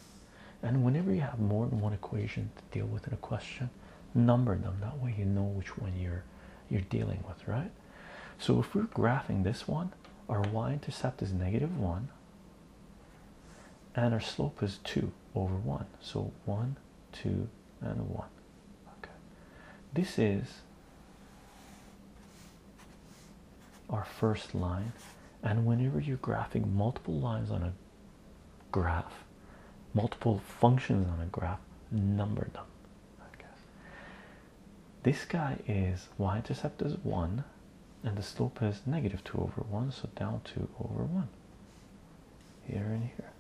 and whenever you have more than one equation to deal with in a question number them that way you know which one you're you're dealing with right so if we're graphing this one our y-intercept is negative one and our slope is 2 over 1 so 1 2 and 1 okay this is our first line and whenever you're graphing multiple lines on a graph multiple functions on a graph number them okay. this guy is y-intercept is 1 and the slope is negative 2 over 1 so down 2 over 1 here and here.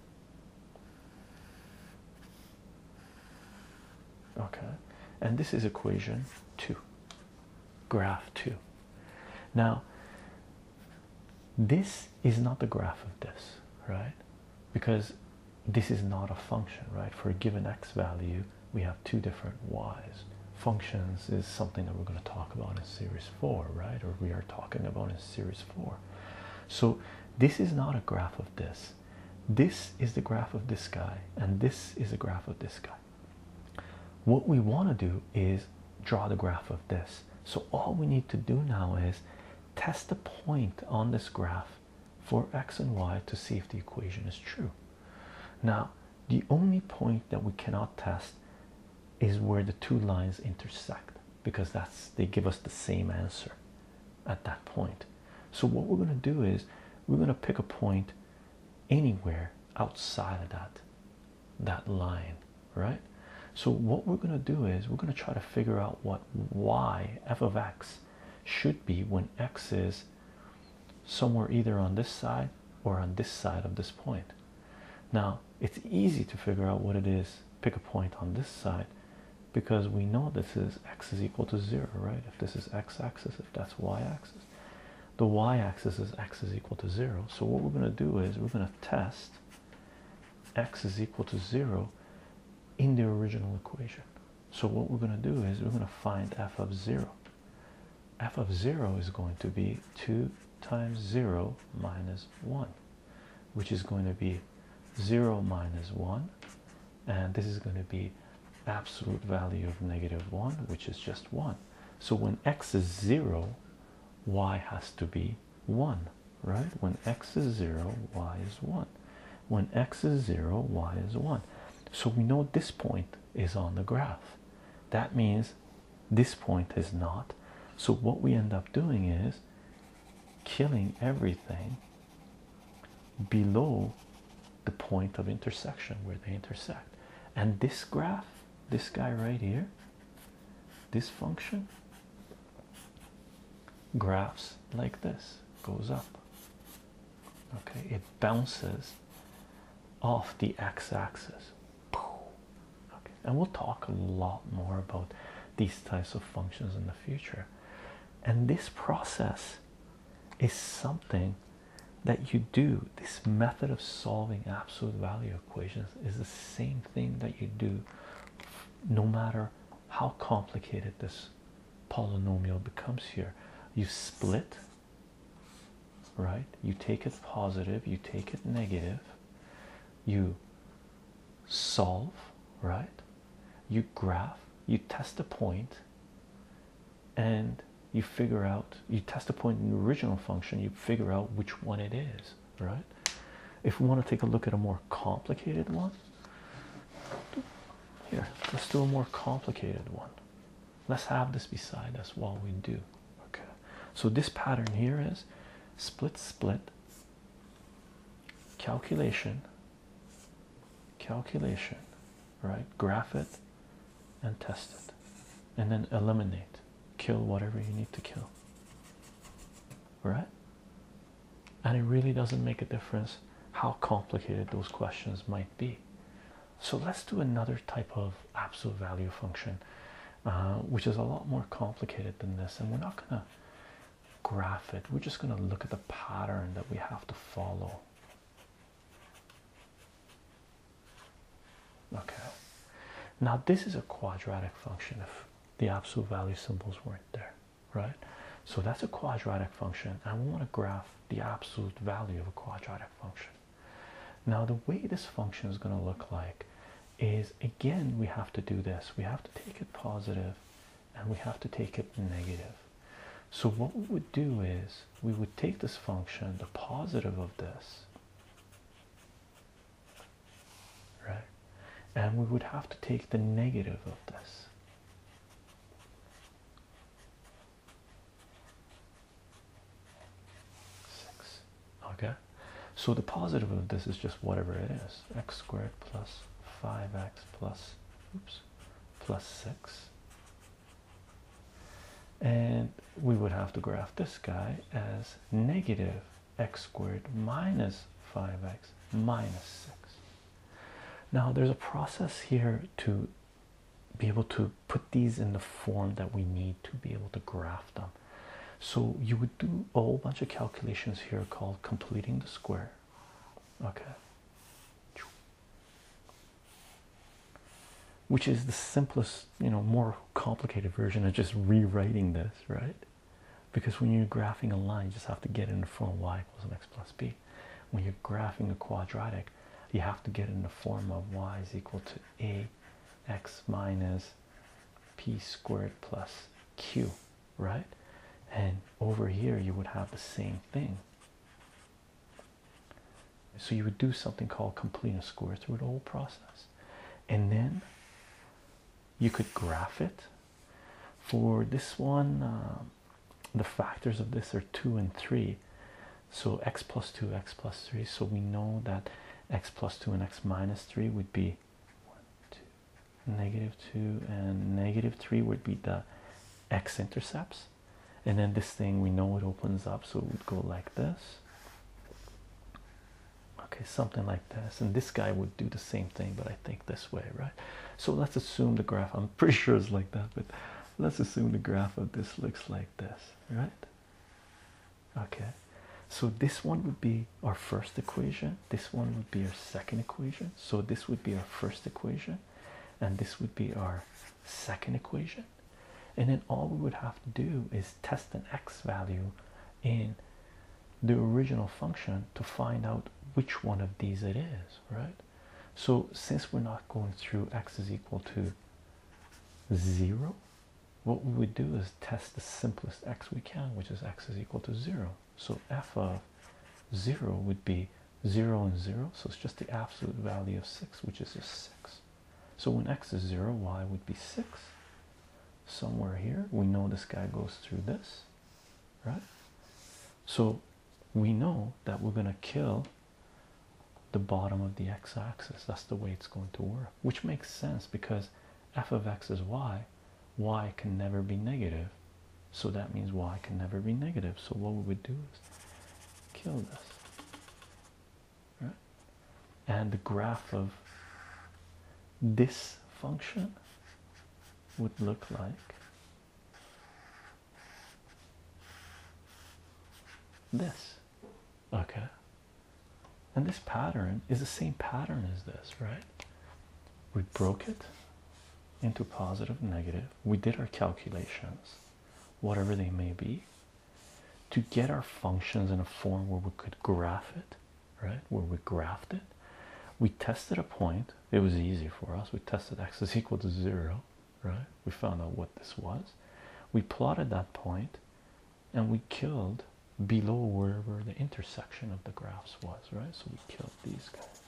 Okay, and this is equation two, graph two. Now, this is not the graph of this, right? Because this is not a function, right? For a given x value, we have two different y's. Functions is something that we're going to talk about in series four, right? Or we are talking about in series four. So this is not a graph of this. This is the graph of this guy, and this is a graph of this guy. What we want to do is draw the graph of this. So all we need to do now is test the point on this graph for x and y to see if the equation is true. Now, the only point that we cannot test is where the two lines intersect because that's they give us the same answer at that point. So what we're going to do is we're going to pick a point anywhere outside of that that line, right? So what we're going to do is we're going to try to figure out what y f of x should be when x is somewhere either on this side or on this side of this point. Now it's easy to figure out what it is, pick a point on this side because we know this is x is equal to zero, right? If this is x axis, if that's y axis, the y axis is x is equal to zero. So what we're going to do is we're going to test x is equal to zero in the original equation. So what we're going to do is we're going to find f of 0. f of 0 is going to be 2 times 0 minus 1 which is going to be 0 minus 1 and this is going to be absolute value of negative 1 which is just 1 so when x is 0 y has to be 1 right when x is 0 y is 1 when x is 0 y is 1 so we know this point is on the graph that means this point is not. So, what we end up doing is killing everything below the point of intersection where they intersect. And this graph, this guy right here, this function graphs like this goes up. Okay, it bounces off the x axis. And we'll talk a lot more about these types of functions in the future. And this process is something that you do. This method of solving absolute value equations is the same thing that you do no matter how complicated this polynomial becomes here. You split, right? You take it positive, you take it negative you solve, right? You graph, you test a point, and you figure out, you test a point in the original function, you figure out which one it is, right? If we want to take a look at a more complicated one, here, let's do a more complicated one. Let's have this beside us while we do Okay, so this pattern here is split, split, calculation, calculation, right? Graph it and test it, and then eliminate, kill whatever you need to kill, right? And it really doesn't make a difference how complicated those questions might be. So let's do another type of absolute value function uh, which is a lot more complicated than this. And we're not going to graph it, we're just going to look at the pattern that we have to follow. Okay, now this is a quadratic function if the absolute value symbols weren't there, right? So that's a quadratic function, and we want to graph the absolute value of a quadratic function. Now, the way this function is going to look like is again, we have to do this. We have to take it positive and we have to take it negative. So, what we would do is we would take this function, the positive of this, right? And we would have to take the negative of this six. Okay, so the positive of this is just whatever it is x squared plus 5x plus oops plus 6 and we would have to graph this guy as negative x squared minus 5x minus 6 now there's a process here to be able to put these in the form that we need to be able to graph them. So you would do a whole bunch of calculations here called completing the square. Okay. Which is the simplest, you know, more complicated version of just rewriting this, right? Because when you're graphing a line, you just have to get it in the form y equals x plus b. When you're graphing a quadratic, you have to get it in the form of y is equal to a x minus p squared plus q, right? And over here, you would have the same thing. So you would do something called complete a square through the whole process, and then you could graph it. For this one, um, the factors of this are two and three, so x plus two, x plus three. So we know that x plus 2 and x minus 3 would be 2, and negative 3 would be the x intercepts. And then this thing we know it opens up, so it would go like this. Okay, something like this. And this guy would do the same thing, but I think this way, right? So let's assume the graph, I'm pretty sure it's like that, but let's assume the graph of this looks like this, right? okay so this one would be our first equation this one would be our second equation so this would be our first equation and this would be our second equation and then all we would have to do is test an x value in the original function to find out which one of these it is right so since we're not going through x is equal to 0 what we would do is test the simplest x we can, which is x is equal to 0. So f of 0 would be 0 and 0, so it's just the absolute value of 6, which is just 6. So when x is 0, y would be 6. Somewhere here, we know this guy goes through this, right? So we know that we're going to kill the bottom of the x axis. That's the way it's going to work which makes sense because f of x is y, y can never be negative, so that means y can never be negative. So what we would do is kill this. Right? And the graph of this function would look like this okay and this pattern is the same pattern as this right we broke it into positive negative we did our calculations whatever they may be to get our functions in a form where we could graph it right where we graphed it we tested a point it was easy for us we tested x is equal to zero right we found out what this was we plotted that point and we killed below wherever the intersection of the graphs was, right? So we killed these guys,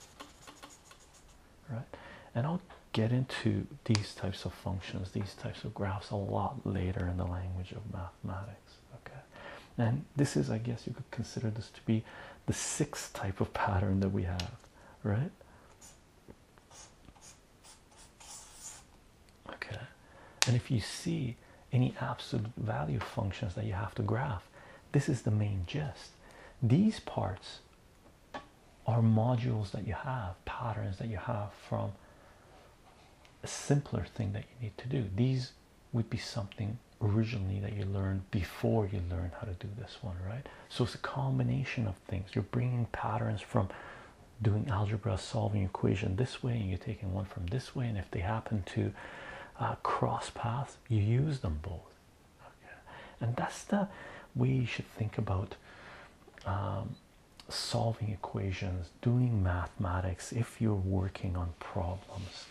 right? And I'll get into these types of functions, these types of graphs a lot later in the language of mathematics, okay? And this is, I guess, you could consider this to be the sixth type of pattern that we have, right? Okay, and if you see any absolute value functions that you have to graph, this is the main gist. These parts are modules that you have, patterns that you have from a simpler thing that you need to do. These would be something originally that you learned before you learned how to do this one, right? So it's a combination of things. You're bringing patterns from doing algebra solving equation this way and you're taking one from this way and if they happen to uh, cross paths you use them both okay. and that's the way you should think about um, solving equations doing mathematics if you're working on problems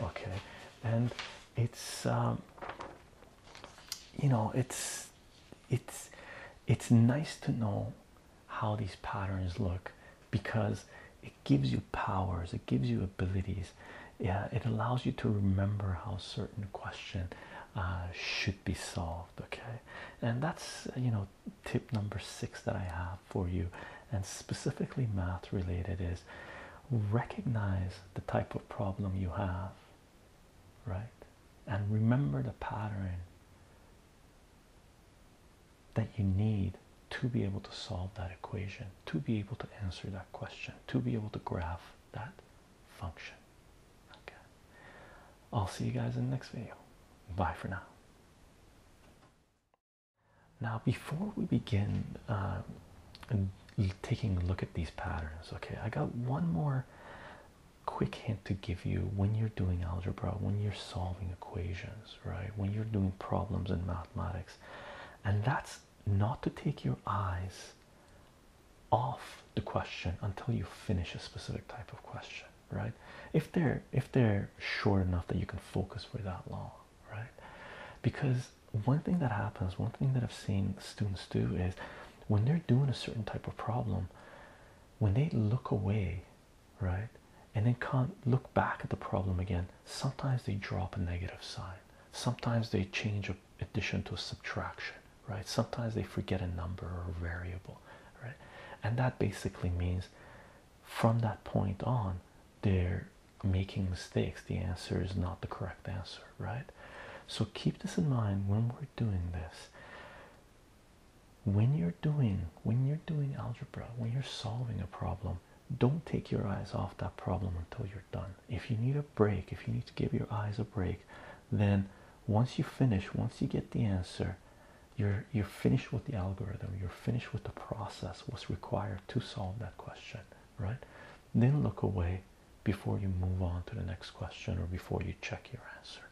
okay and it's um, you know it's it's it's nice to know how these patterns look because it gives you powers, it gives you abilities, yeah, it allows you to remember how certain question uh, should be solved. Okay, and that's you know tip number six that I have for you, and specifically math related is recognize the type of problem you have, right, and remember the pattern that you need to be able to solve that equation, to be able to answer that question, to be able to graph that function. Okay. I'll see you guys in the next video. Bye for now. Now, before we begin uh, taking a look at these patterns, okay, I got one more quick hint to give you when you're doing algebra, when you're solving equations, right? When you're doing problems in mathematics, and that's not to take your eyes off the question until you finish a specific type of question, right? If they're if they're short enough that you can focus for that long, right? Because one thing that happens, one thing that I've seen students do is when they're doing a certain type of problem, when they look away right? And then can't look back at the problem again. Sometimes they drop a negative sign, sometimes they change an addition to a subtraction, right? Sometimes they forget a number or a variable, right? And that basically means from that point on, they're making mistakes. The answer is not the correct answer, right? So keep this in mind when we're doing this when you're doing when you're doing algebra when you're solving a problem don't take your eyes off that problem until you're done if you need a break if you need to give your eyes a break then once you finish once you get the answer you're you're finished with the algorithm you're finished with the process was required to solve that question right then look away before you move on to the next question or before you check your answer